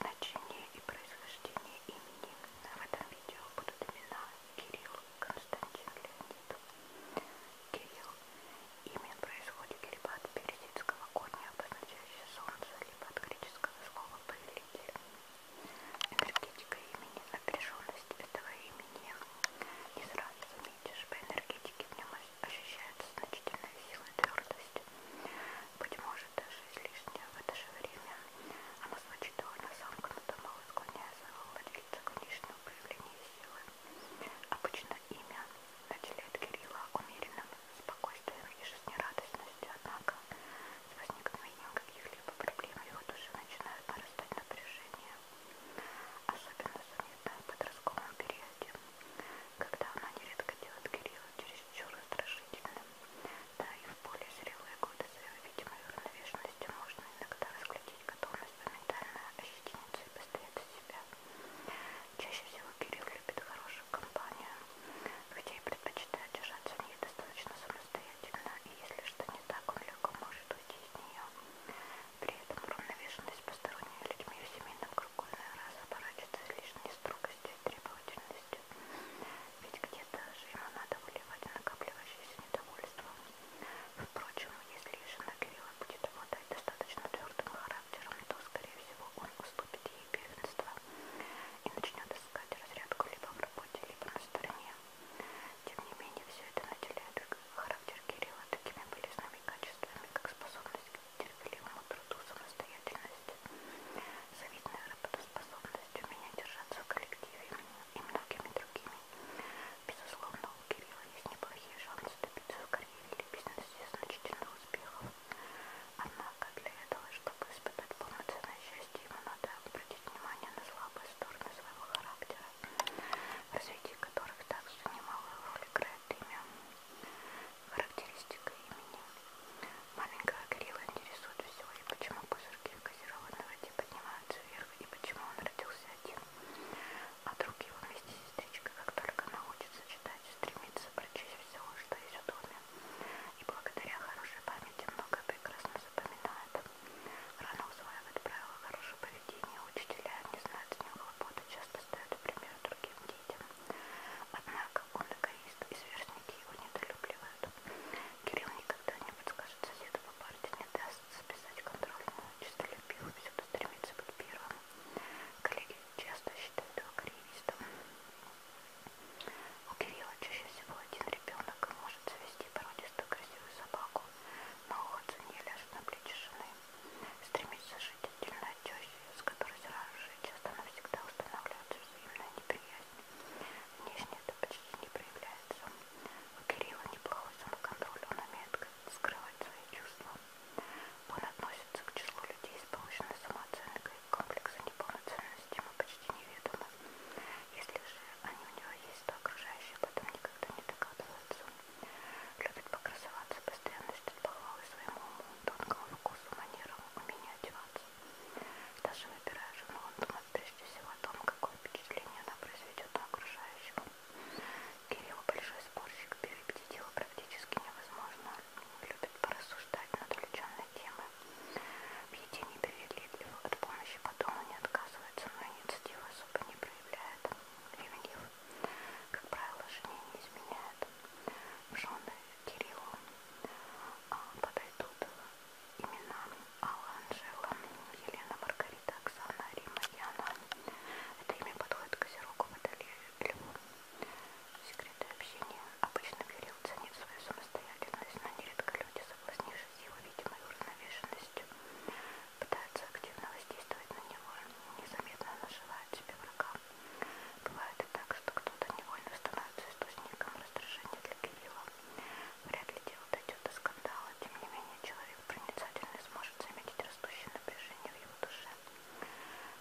Значение и происхождение имени в этом видео будут имена Кирилл Константин Леонид. Кирилл. Имя происходит либо от персидского корня, обозначающего солнце, либо от греческого слова повелитель. Энергетика имени, напряженность этого имени не сразу заметишь. По энергетике в нем ощущается значительная сила и твердость. Быть может, даже излишняя в это же время она звучит довольно замкнуто, мало склоняя своего владельца к внешнему проявлению силы. Обычно имя наделяет Кирилла умеренным спокойствием и жизнерадостностью, а однако с возникновением каких-либо проблем в его душе начинают нарастать напряжение, особенно заметно в подростковом периоде, когда она нередко делает Кирилла чересчур раздражительным, да и в более зрелые годы своей видимой уравновешенности можно иногда разглядеть готовность моментально ощетиниться и постоять за себя. Чаще всего Кирилл любит хорошую компанию, хотя и предпочитаю держаться в ней достаточно самостоятельно, и если что не так, он легко может уйти из нее. При этом уравновешенность посторонними людьми в семейном кругу иной раз оборачивается лишней строгостью и требовательностью, ведь где-то же ему надо выливать накапливающееся недовольство. Впрочем, если жена Кирилла будет обладать достаточно твердым характером, то, скорее всего, он уступит и первенства и начнет искать разрядку либо в работе, либо на стороне. Тем не менее, все это наделяет характер Кирилла такими полезными качествами, как способность к терпеливому труду, самостоятельность, завидная работоспособность, умение держаться в коллективе и многими другими. Безусловно, у Кирилла есть неплохие шансы добиться в карьере или бизнесе значительных успехов. Однако для этого, чтобы испытать полноценное счастье, ему надо обратить внимание на слабые стороны своего характера, в развитии которых также немалую роль играет имя. Характеристика имени. Маленького Кирилла интересует все, и почему пузырьки газированного типа поднимаются вверх, и почему он родился один, а друг его вместе с сестричкой, как только научится читать, стремится прочесть всего, что есть у основе. И благодаря хорошей памяти многое прекрасно запоминает. Рано усваивает правила хорошего поведения, учителя не знают с ним хлопоты, часто ставят пример другим детям. Однако он эгоист, и сверстники его недолюбливают. Кирилл никогда не подскажет соседу по парте, не даст записать контрольную, чистолюбив, всюду стремится быть первым. Коллеги часто считают его карьеристом. У Кирилла чаще всего один ребенок может завести породистую красивую собаку, но уходцы не ляжут на плечи жены. Стремится жить отдельно от тещи, с которой сразу же часто навсегда устанавливается взаимная неприязнь. Внешне это почти не проявляется. У Кирилла неплохой самоконтроль, он умеет скрывать свои чувства. Он относится к числу людей с повышенной самооценкой, комплексы неполноценности ему почти неведомы. Если же они у него есть, то окружающие об этом никогда не догадываются. Любит покрасоваться, постоянно ждет похвалы своему уму, тонкому вкусу, манерам, умению одеваться. Даже выбирая жену, он думает прежде всего о том, какое впечатление она произведет на окружающего. Кирилл большой спорщик, перебедить его практически невозможно любит порассуждать над увлеченной темой. В еде непривередлив, от помощи по дому не отказывается, но инициативу особо не проявляет. Ревнив, как правило, жене не изменяет. Жены Кириллу а, подойдут имена Алла, Анжела, Елена, Маргарита, Оксана, Рима, Яна. Это имя подходит к козерогу Водолею люблю. Секреты общения. Обычно Кирилл ценит свою самостоятельность, но нередко люди, соблазнившись его видимой уравновешенностью, пытаются активно воздействовать на него, незаметно наживают себе врага. Бывает и так, что кто-то невольно становится источником раздражения для Кирилла. Вряд ли дело дойдет до скандала, тем не менее человек проницательный сможет заметить растущее напряжение в его душе.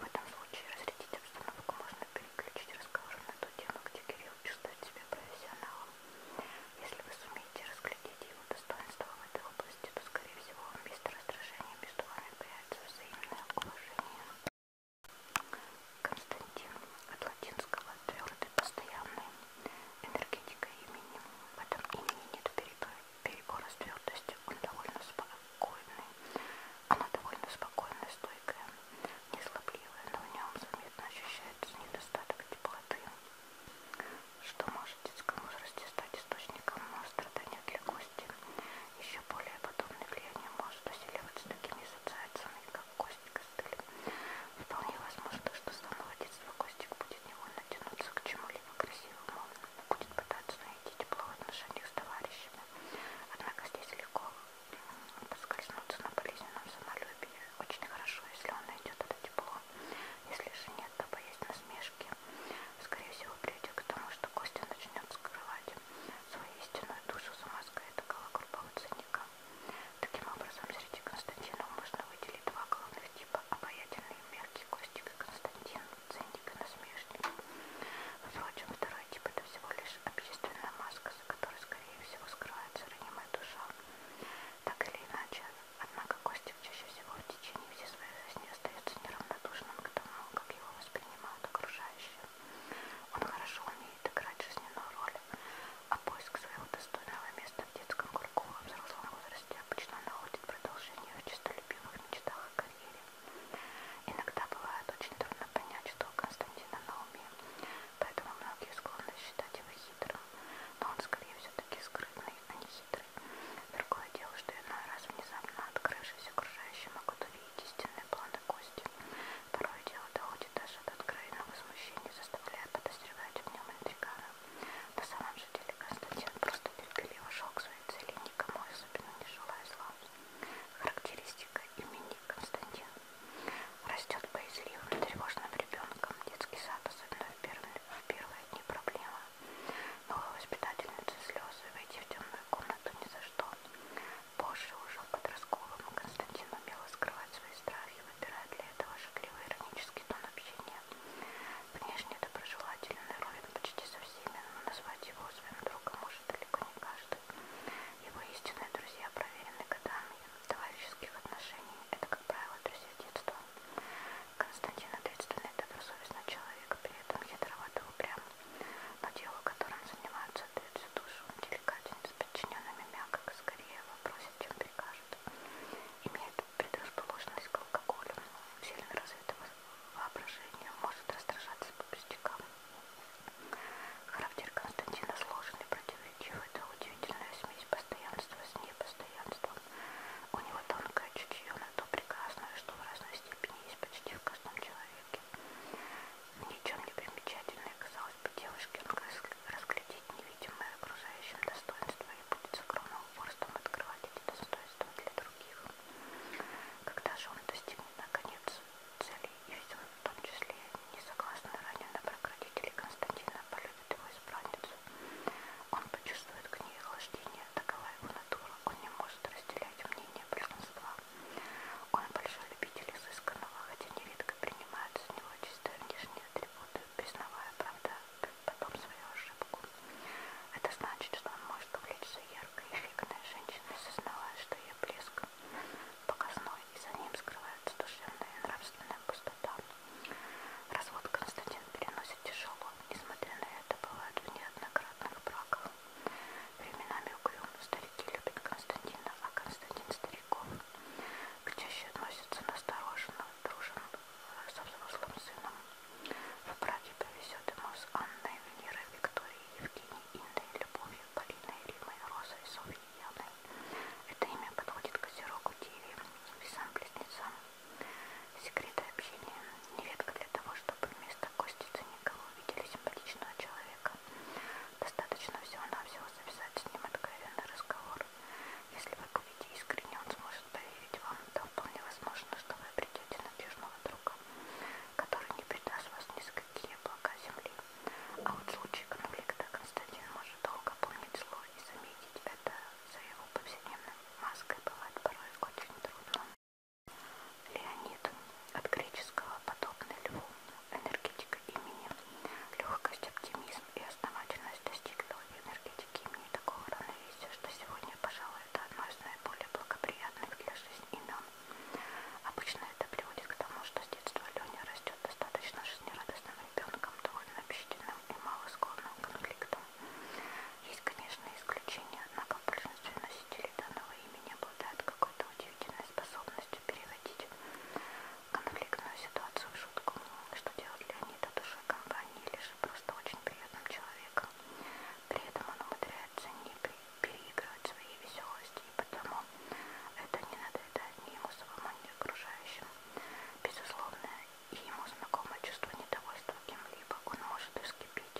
В этом случае разрядить обстановку можно переключить разговор на ту тему, где Кирилл чувствует себя профессионалом. Если вы сумеете разглядеть его достоинства в этой области, то, скорее всего, вместо раздражения между вами появится взаимное уважение. Константин от латинского твердый, постоянный энергетика имени. В этом имени нет перепады перебора с твердостью, он довольно спокойный. Она довольно спокойная, стойкая, неслабливая, но в нем заметно ощущается недостаток теплоты, что может в детском возрасте стать источником страдания для кости. Еще более подобное влияние может усиливать с такими ассоциациями, как кость костыль. Вполне возможно, что с самого детства Костик будет невольно тянуться к чему-либо красивому, будет пытаться найти тепло в отношениях с товарищами. Однако здесь легко поскользнуться на болезненном самолюбии. Очень хорошо, если он найдет это тепло. Если же нет, то боясь насмешки, скорее всего, придет к тому, что Костя начнет скрывать свою истинную душу за маской такого грубого ценника. Таким образом, среди Константинов можно выделить два главных типа – обаятельный и мягкий Костик и Константин цен тебе насмешник. Впрочем, второй тип это всего лишь общественная маска, за которой, скорее всего, скрывается ранимая душа. Так или иначе, однако Костик чаще всего в течение всей своей жизни остается неравнодушным к тому, как его воспринимают окружающие. Он хорошо умеет играть жизненную роль, а поиск своего достойного места в детском кругу во взрослом возрасте обычно находит продолжение в чистолюбивых мечтах их карьере. Иногда бывает очень трудно понять, что у Константина на уме, поэтому многие склонны считать его хитрым, но он скорее все-таки скрытный, а не хитрый. Другое дело, что иной раз внезапно открывшись окружающим могут увидеть истинные планы Кости. Порой дело доходит даже до откровенного возмущения, заставляя подозревать в нем интригана. На самом же деле Константин просто терпеливо шел к своей цели, никому особенно не желая зла. Характеристика имени Константин. Растет боязливым, тревожным ребенком. Детский сад, особенно в первые, в первые дни проблемы. Новая воспитательница слезы, войти в темную комнату ни за что. Позже, уже в подростковом, Константин умел скрывать свои страхи, выбирая для этого шагливый иронический тон общения. Внешне доброжелательный ровен почти со всеми, но назвать его своим другом может далеко не каждый. Его истинные друзья проверены годами товарищеских отношений. Это, как правило, друзья детства. Константин ответственный, добросовестный человек, при этом хитровато упрям. Но дело, которым занимаются, отдает всю душу. Деликатен, с подчиненными мягко, скорее вопросит, чем прикажет. Имеет предрасположенность к алкоголю, сильно развитого воображения, может раздражаться по пустякам. Характер Константина сложен и противоречив, это удивительная смесь постоянства с непостоянством. У него тонкое чутье на то прекрасное, что в разной степени есть почти в каждом человеке. Ничем не примечательное, казалось бы, девушке он разглядеть невидимое окружающим достоинство и будет с огромным упорством открывать достоинства для других. Когда же он достигнет наконец цели, и все, в том числе несогласный ранее брак родителей Константина полюбит его избранницу, он почувствует к ней охлаждение, такова его натура, он не может разделять мнение большинства. Он большой любитель изысканного, хотя нередко принимает за него чисто внешние атрибуты, признавая, правда, исправит потом свою ошибку. Это значит, что он может увлечься яркой, эффектной женщиной, сознавая, что ее блеск показной, и за ним скрывается душевная и нравственная пустота. Развод Константин переносит тяжело, несмотря на это, бывает в неоднократных браках. Временами угрюм старики любят Константина, а Константин стариков. К чаще относятся настороженно, дружен, со взрослым сыном. В браке повезет ему с Анной, Венерой, Викторией, Евгенией, Индой, Любовью, Полиной, Римой, Розой, Софьей, Яной. Это имя подходит к Козерогу, Деве, весам, близнецам. Секреты общения. Нередко для того, чтобы вместо костицы никого видели симпатичного человека. Достаточно всего-навсего записать с ним откровенный разговор. Если вы купите искренне, он сможет поверить вам. Да вполне возможно, что вы обретете надежного друга, который не предаст вас ни за какие облака земли. А вот случай конфликта Константин может долго помнить зло и заметить это за его повседневной маской бывает порой очень трудно. Леонид от греческого подобный льву, энергетика имени, легкость, оптимизм и основательность достигли здоровья, энергетики имени такого равновесия, а что сегодня, пожалуй, это одно из наиболее благоприятных для жизни имен. Обычно это приводит к тому, что с детства Леня растет достаточно жизнерадостным ребенком, довольно общительным и малосклонным к конфликтам. Есть, конечно, исключения, однако большинство носителей данного имени обладают какой-то удивительной способностью переводить конфликтную ситуацию в шутку, что делает Леонид от души компании или же просто очень приятным человеком. При этом он умудряется не переигрывать свои веселости, и потому это не надоедает ни ему самому, ни окружающим. Безусловно, и ему знакомо чувство недовольства кем-либо, он может и вскипеть,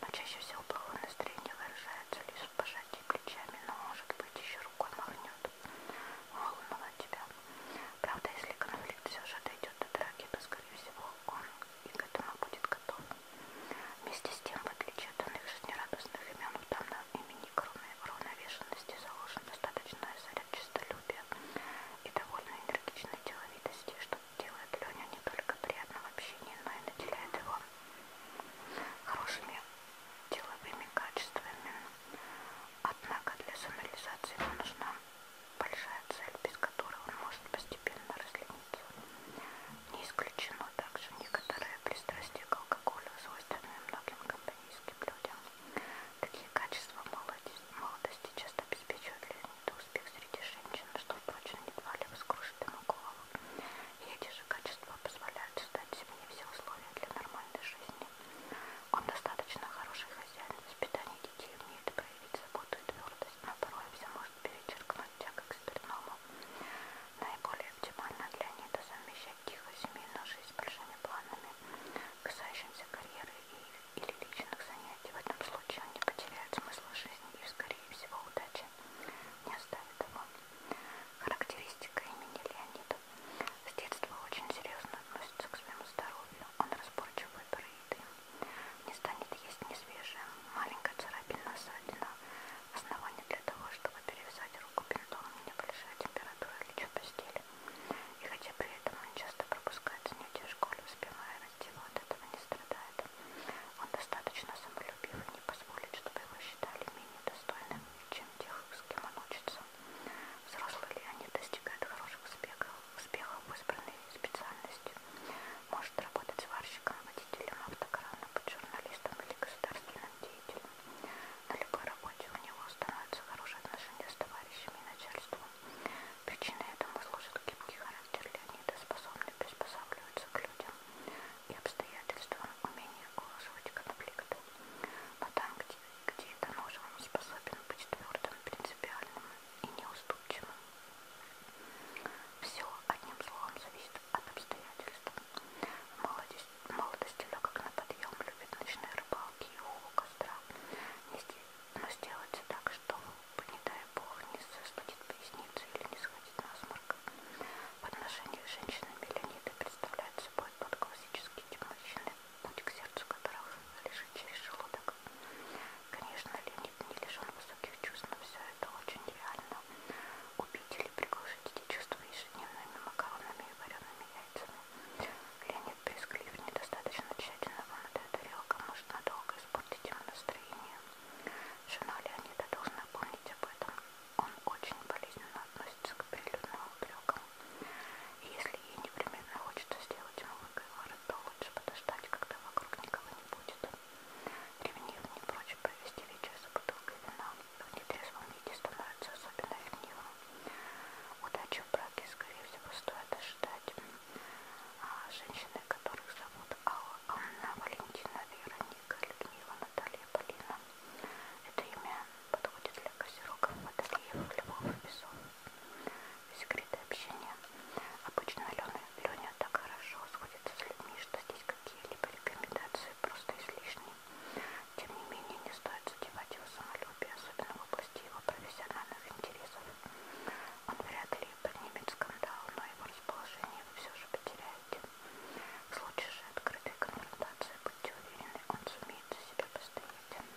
но чаще всего плохое настроение выражается лишь в пожатии плечами, но может быть еще рукой махнет. Ломала тебя. Правда, если конфликт все же дойдет до драки, то, скорее всего, он и к этому будет готов. Вместе с тем, в отличие от иных жизнерадостных имен, в данном имени кроме уравновешенности заложен достаточный заряд честолюбия и довольно энергичной деловитости, что делает Леня не только приятным общением, но и наделяет его хорошими деловыми качествами. Однако для самореализации ему нужна большая цель, без которой он может постепенно разлениться. Не исключено также некоторое пристрастие к алкоголю, свойственное многим компанийским людям. Такие качества молодости часто обеспечивают Леонида успех среди женщин, что, впрочем, едва ли воскрушит ему голову. И эти же качества позволяют создать себе все условия для нормальной жизни. Он достаточно хороший хозяин в воспитании детей, умеет проявить заботу и твердость, но порой все может перечеркнуть тяга к спиртному. Наиболее оптимально для Анита совмещать тихую семейную жизнь с большими планами, касающимся карьеры и, или личных занятий. В этом случае он не потеряет смысл жизни и, скорее всего, удачи не оставит его. Характеристика имени Леонида. С детства очень серьезно относится к своему здоровью. Он разборчив в выборе еды. Не станет есть несвежее. Маленькая царапина ссадина. Основание для того, чтобы перевязать руку бинтом, небольшая температура лечу постели. И хотя при этом он часто пропускает занятия в школе, успевая расти, от этого не страдает. Он достаточно самолюбив и не позволит, чтобы его считали менее достойным, чем тех, с кем он учится. Взрослые ли они достигают хороших успехов, успехов в избранной специальности? Может работать сварщиком, водителем автокрана, быть журналистом или государственным деятелем. На любой работе у него становятся хорошие отношения с товарищами и начальством. Причиной этому служит гибкий характер Леонида, способный приспосабливаться к людям и обстоятельствам, умение голосовать конфликты. Но там, где, где это нужно, он способен быть твердым, принципиальным и неуступчивым. Все, одним словом, зависит от обстоятельств. Молодость, молодость легок на подъем, любит ночные рыбалки и у костра. Но сделается так, что, не дай бог, не застудит поясницу или не сходит насморк. В отношении женщины Леонида представляет собой подходит под классический тип мужчины, путь к сердцу которого лежит через желудок. Конечно, Леонид не лишен высоких чувств, но все это очень реально. Убить или приглушить эти чувства ежедневными макаронами и вареными яйцами. Леонид брезглив, недостаточно тщательно вымытая тарелка может надолго испортить ему настроение. Жена Леонида должна помнить об этом. Он очень болезненно относится к прилюдным упрекам. И если ей непременно хочется сделать ему выговор, то лучше подождать, когда вокруг никого не будет. Ревнив не прочь провести вечер за бутылкой вина, в нетрезвом виде становится особенно ревнивым. Удачи в браке, скорее всего, стоит ожидать. А женщины, которых зовут Алла, Анна, Валентина, Вера, Вероника Людмила Наталья Полина. Это имя подходит для козерогов, водолеев, львов и песов. Секреты общения. Обычно Алена, Леня так хорошо сходится с людьми, что здесь какие-либо рекомендации просто излишни. Тем не менее, не стоит задевать его самолюбие, особенно в области его профессиональных интересов. Он вряд ли поднимет скандал, но его расположение вы все же потеряете. В случае же открытой конфронтации, будьте уверены, он сумеет за себя постоять.